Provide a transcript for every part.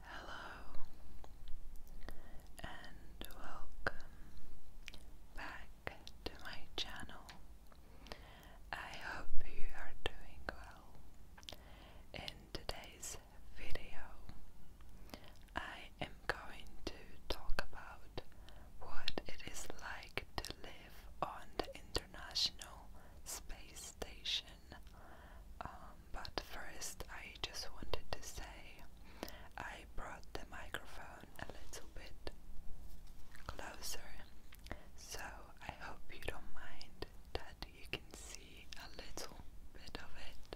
Hello and welcome back to my channel. I hope you are doing well. In today's video, I am going to talk about what it is like to live on the International Space Station. Um, but first I just wanted to say I brought the microphone a little bit closer, so I hope you don't mind that you can see a little bit of it.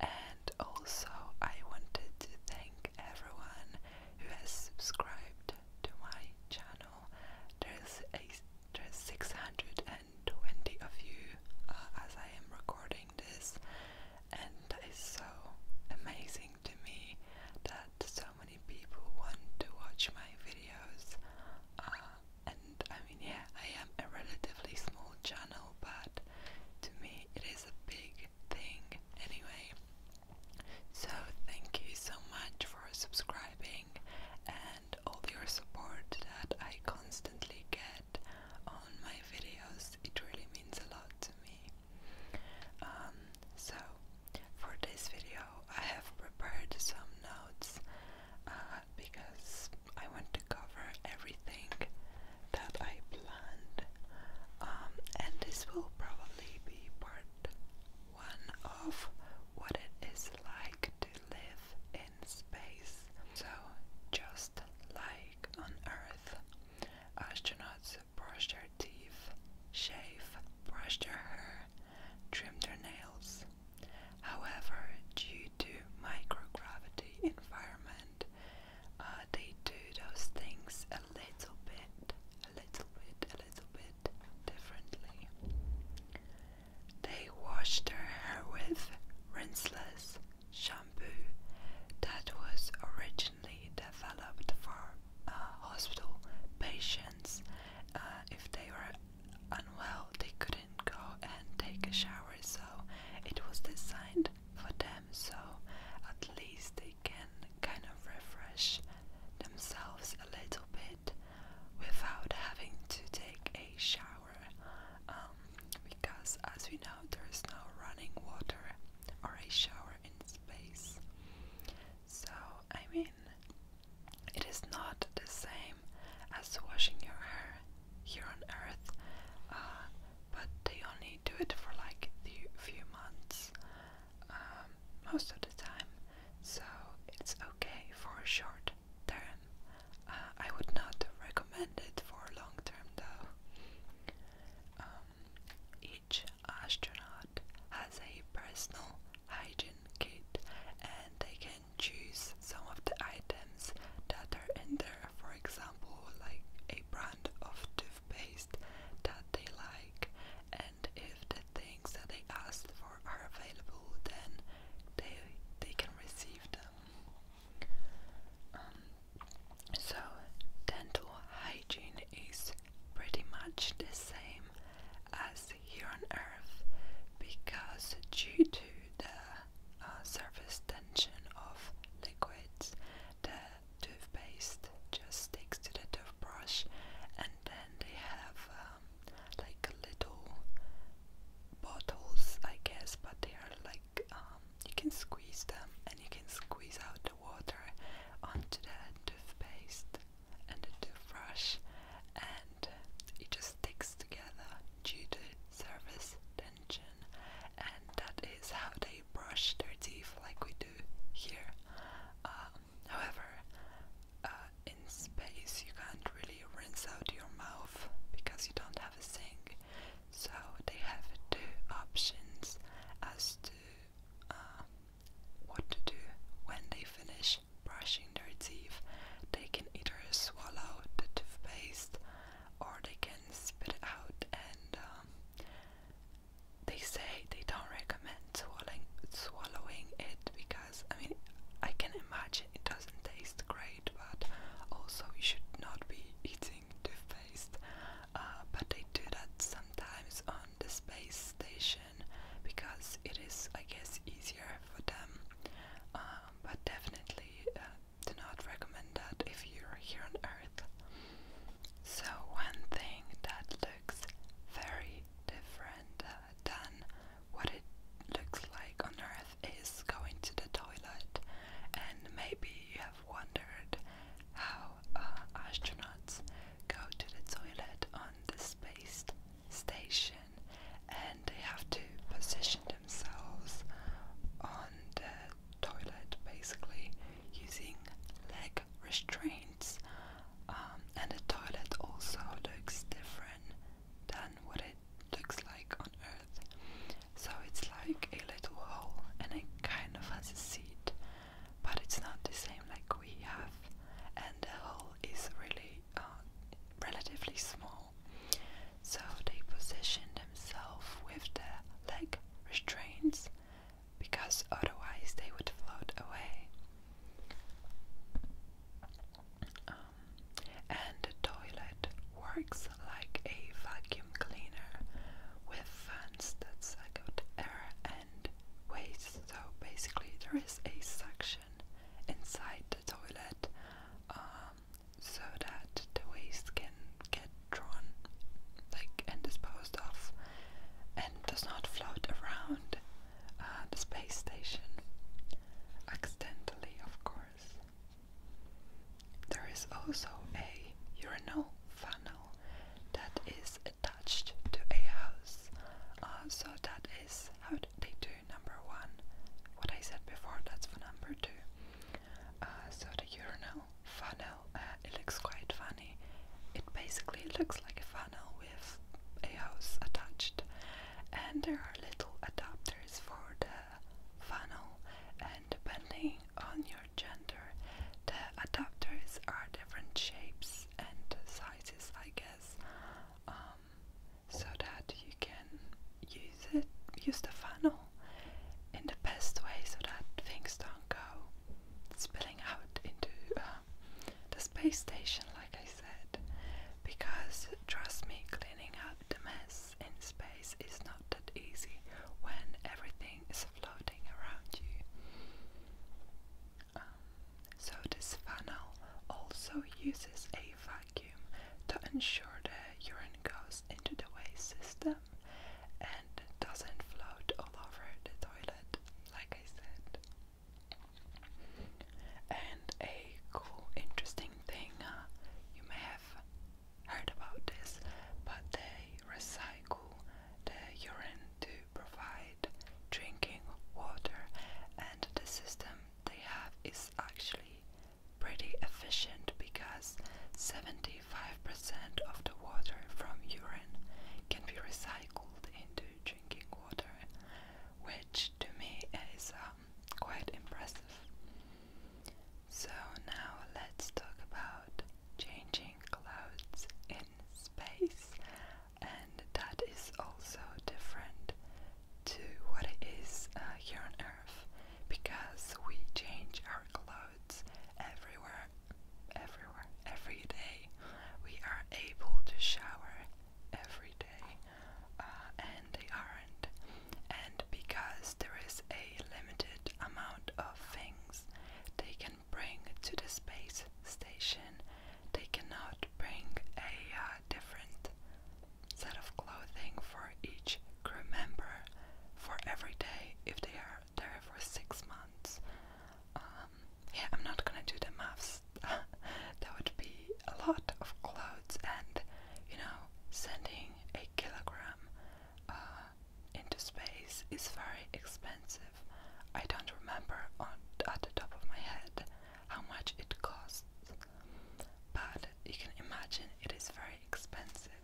And also, I wanted to thank everyone who has subscribed to my channel. There's a there's 650 120 of you uh, as I am recording this, and that is so amazing to me that so many people want to watch my videos. Uh, and I mean, yeah, I am a relatively small channel, but to me, it is a big thing anyway. So, thank you so much for subscribing, and all your support that I constantly get on my videos. It really means a lot to me. Um, so, for this video, I have prepared some notes uh, because I want to cover everything that I planned, um, and this will probably be part one of what it is like to live in space. So, just like on Earth, astronauts brush their teeth, shave, brush their hair, trim their nails. However, due to microgravity environment, uh, they do those things a little bit, a little bit, a little bit differently. They washed their hair with rinseless shampoo that was originally developed for uh, hospital patients. Uh, if they were unwell, they couldn't go and take a shower, so it was designed for them so at least they can kind of refresh themselves a little bit without having to take a shower. Um, because, as we know, there is no running water or a shower in space. So, I mean, it is not the same as washing your hair here on Earth, uh, but they only do it for like a few months um, most of the time, so it's okay for a short short uh, I would not recommend it for long term though. Um, each astronaut has a personal hygiene kit and they can choose some of the items that are in there, for example, like a brand of toothpaste that they like, and if the things that they ask for are available, then they they can receive them. Um, so dental hygiene is pretty much the same as here on Earth because due to the uh, surface tension of liquids, the toothpaste just sticks to the toothbrush and then they have um, like little bottles, I guess, but they are like um, you can squeeze them and you can squeeze out the water onto the toothpaste and the toothbrush, and it just sticks together due to surface tension, and that is how they brush their teeth like we do here. Um, however, uh, in space you can't really rinse out your mouth because you don't have a sink. So they have two options as to uh, what to do when they finish brushing their teeth. They can either swallow the toothpaste or they can spit it out and um, they say they don't recommend swallowing, swallowing it because I mean I can imagine it doesn't taste great, but also you should not be eating toothpaste. Uh, but they do that sometimes on the space station because it is, I guess, easier for them. Um, but definitely uh, do not recommend that if you're here on Earth. So one thing that looks very different uh, than what it looks like on Earth is going to the toilet. And maybe you have wondered how uh, astronauts go to the toilet on the space station and they have to position themselves on the toilet basically using leg restraints. Um, and the toilet also looks different than what it looks like on Earth. So it's like a little hole and it kind of has a seat, but it's not the same like we have. And the hole is really uh, relatively small. So they position themselves with the leg restraints because otherwise they would float away and the toilet works like a vacuum cleaner with fans that suck out air and waste. So basically, there is a suction inside the toilet um, so that the waste can get drawn like and disposed of and does not float around uh, the space station accidentally of course. There is also a urinal funnel that is attached to a house. Uh, so that is how they do number one. What I said before, that's for number two. Uh, so the urinal funnel, uh, it looks quite funny. It basically looks like a funnel with a house attached, and there are little adapters for the funnel, and depending on your gender, the adapters are different shapes and sizes, I guess, um, so that you can use it, use the funnel in the best way, so that things don't go spilling out into uh, the space station, like I said because trust me, cleaning up the mess in space is not that easy when everything is floating around you. Um, so, this funnel also uses a vacuum to ensure the urine goes into the waste system and doesn't float all over the toilet, like I said. And a cool, interesting thing uh, you may have heard about this, but they recycle the urine to provide drinking water, and the system they have is actually pretty efficient because 75% of the water from urine can be recycled into drinking water, which to me is a uh, quite impressive. So now let's talk about changing clouds in space, and that is also different to what it is uh, here on Earth because we change our clothes everywhere, everywhere, every day. We are able to shower every day, uh, and they aren't. And because there is a limited amount of things they can bring to the space station, they cannot bring a uh, different set of clothing for each crew member for every day if they are there for six months. Um, yeah, I'm not gonna do the maths There would be a lot of clothes and you know sending a kilogram uh, into space is very expensive. I don't remember on at the top of my head how much it costs, but you can imagine it is very expensive.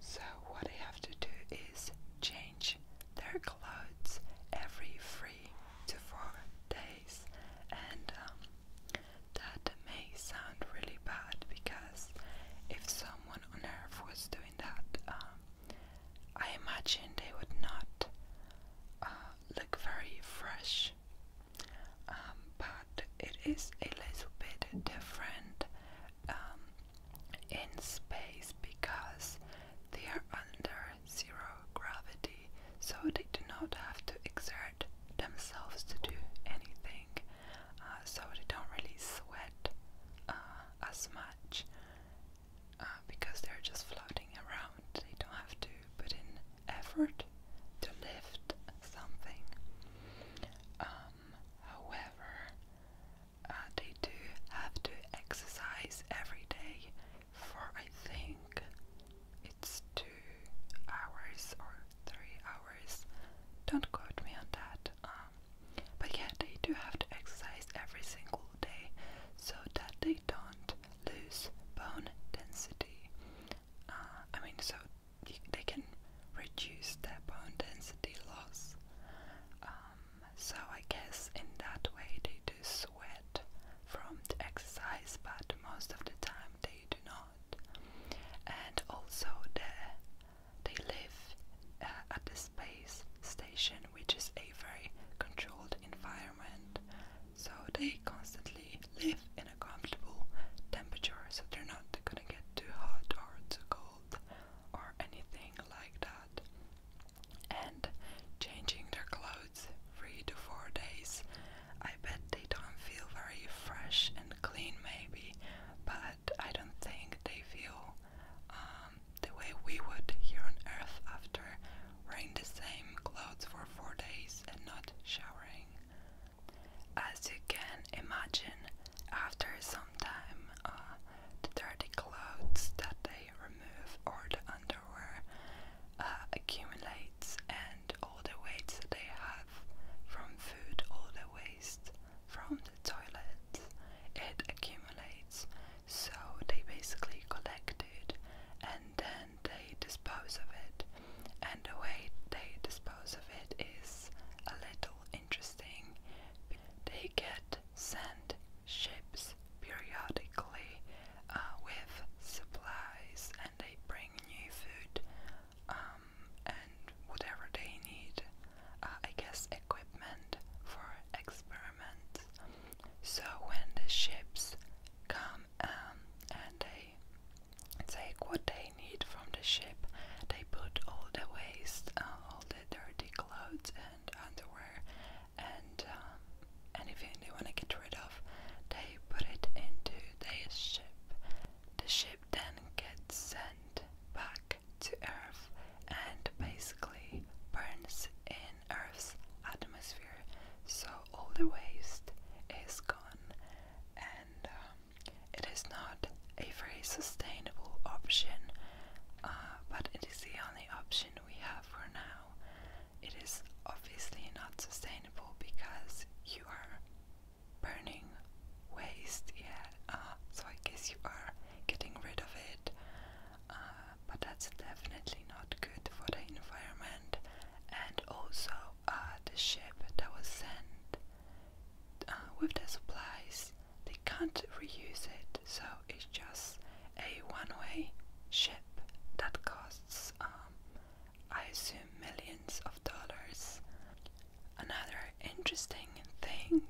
So what they have to do is change their clothes every three to four days, and um, that may sound really bad because if someone on earth was doing that, um, I imagine they would not uh, look very fresh. Um, but it is a little bit different um, in space because they are under zero gravity, so they do not have to exert themselves to do anything, uh, so they don't really sweat uh, as much uh, because they're just floating around. They don't have to put in effort to lift something. Um, however, they do have to exercise every day for I think it's two hours or three hours. Don't quote me on that. Um, but yeah, they do have to exercise every single day so that they don't lose bone density. Uh, I mean, so they can reduce their bone density loss. Um, so I guess in that way they do sweat from the exercise, but most of the time they do not. And also there they live uh, at the space station, which is a very controlled environment. So they constantly live in a comfortable temperature, so they're not gonna get too hot or too cold or anything like that. And changing their clothes three to four days. I bet they don't feel very fresh and clean, maybe, but I don't think they feel um, the way we would here on Earth after wearing the same clothes for four days and not showering. As you can imagine, after some time, uh, the dirty clothes that they remove or the underwear uh, accumulates and all the weights they have from food, all the waste from the toilet, it accumulates. So they basically collect it and then they dispose of it. And the way they dispose of it is a little interesting. They get sent ships periodically uh, with supplies and they bring new food um, and whatever they need, uh, I guess equipment for experiments. So when the ships come um, and they take what they need from the ship, they put all the waste, uh, all the dirty clothes and underwear and um, anything they want to get rid of, they put it into their ship. The ship then gets sent back to Earth and basically burns in Earth's atmosphere, so all the waste is gone, and um, it is not a very sustainable option, uh, but it is the only option we have for now. It is obviously not sustainable because you are burning waste, yeah. Uh, so I guess you are getting rid of it, uh, but that's definitely not good for the environment. And also, uh, the ship that was sent with the supplies, they can't reuse it, so it's just a one-way ship that costs. Um, I assume millions of dollars. Another interesting thing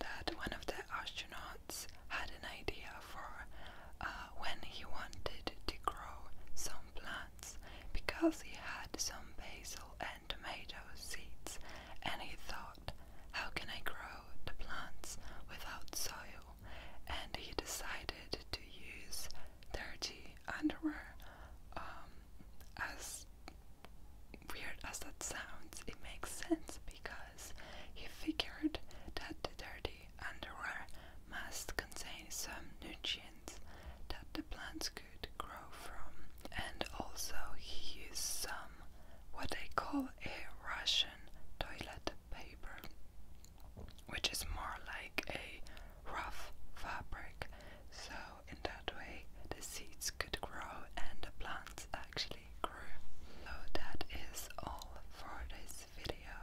that one of the astronauts had an idea for uh, when he wanted to grow some plants because he had some basil and tomato seeds and he thought, how can I grow the plants without soil? And he decided to use dirty underwear. Um, as weird as that sounds, it makes sense because he figured that the dirty underwear must contain some nutrients that the plants could grow from. And also, he used some what they call a Russian toilet paper which is more like a rough fabric. So, in that way, the seeds could grow and the plants actually grew. So, that is all for this video.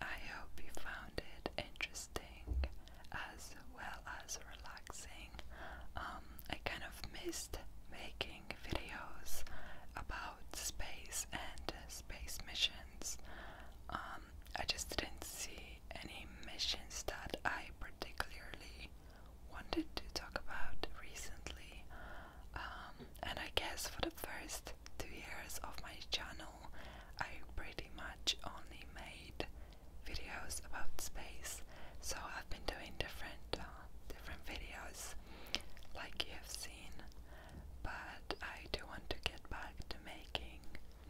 I hope you found it interesting as well as relaxing. Um, I kind of missed making videos about space and space missions. Um, um, I just didn't see any missions that I particularly wanted to talk about recently. Um, and I guess for the first two years of my channel, I pretty much only made videos about space. So I've been doing different, uh, different videos, like you have seen. But I do want to get back to making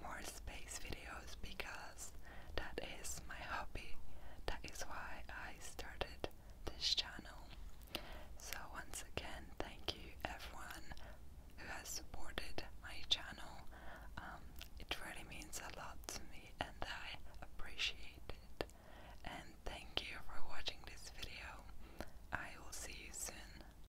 more space videos because that is my hobby. That is why I started this channel. So once again, thank you everyone who has supported my channel. Um, it really means a lot to me and I appreciate it. And thank you for watching this video. I will see you soon.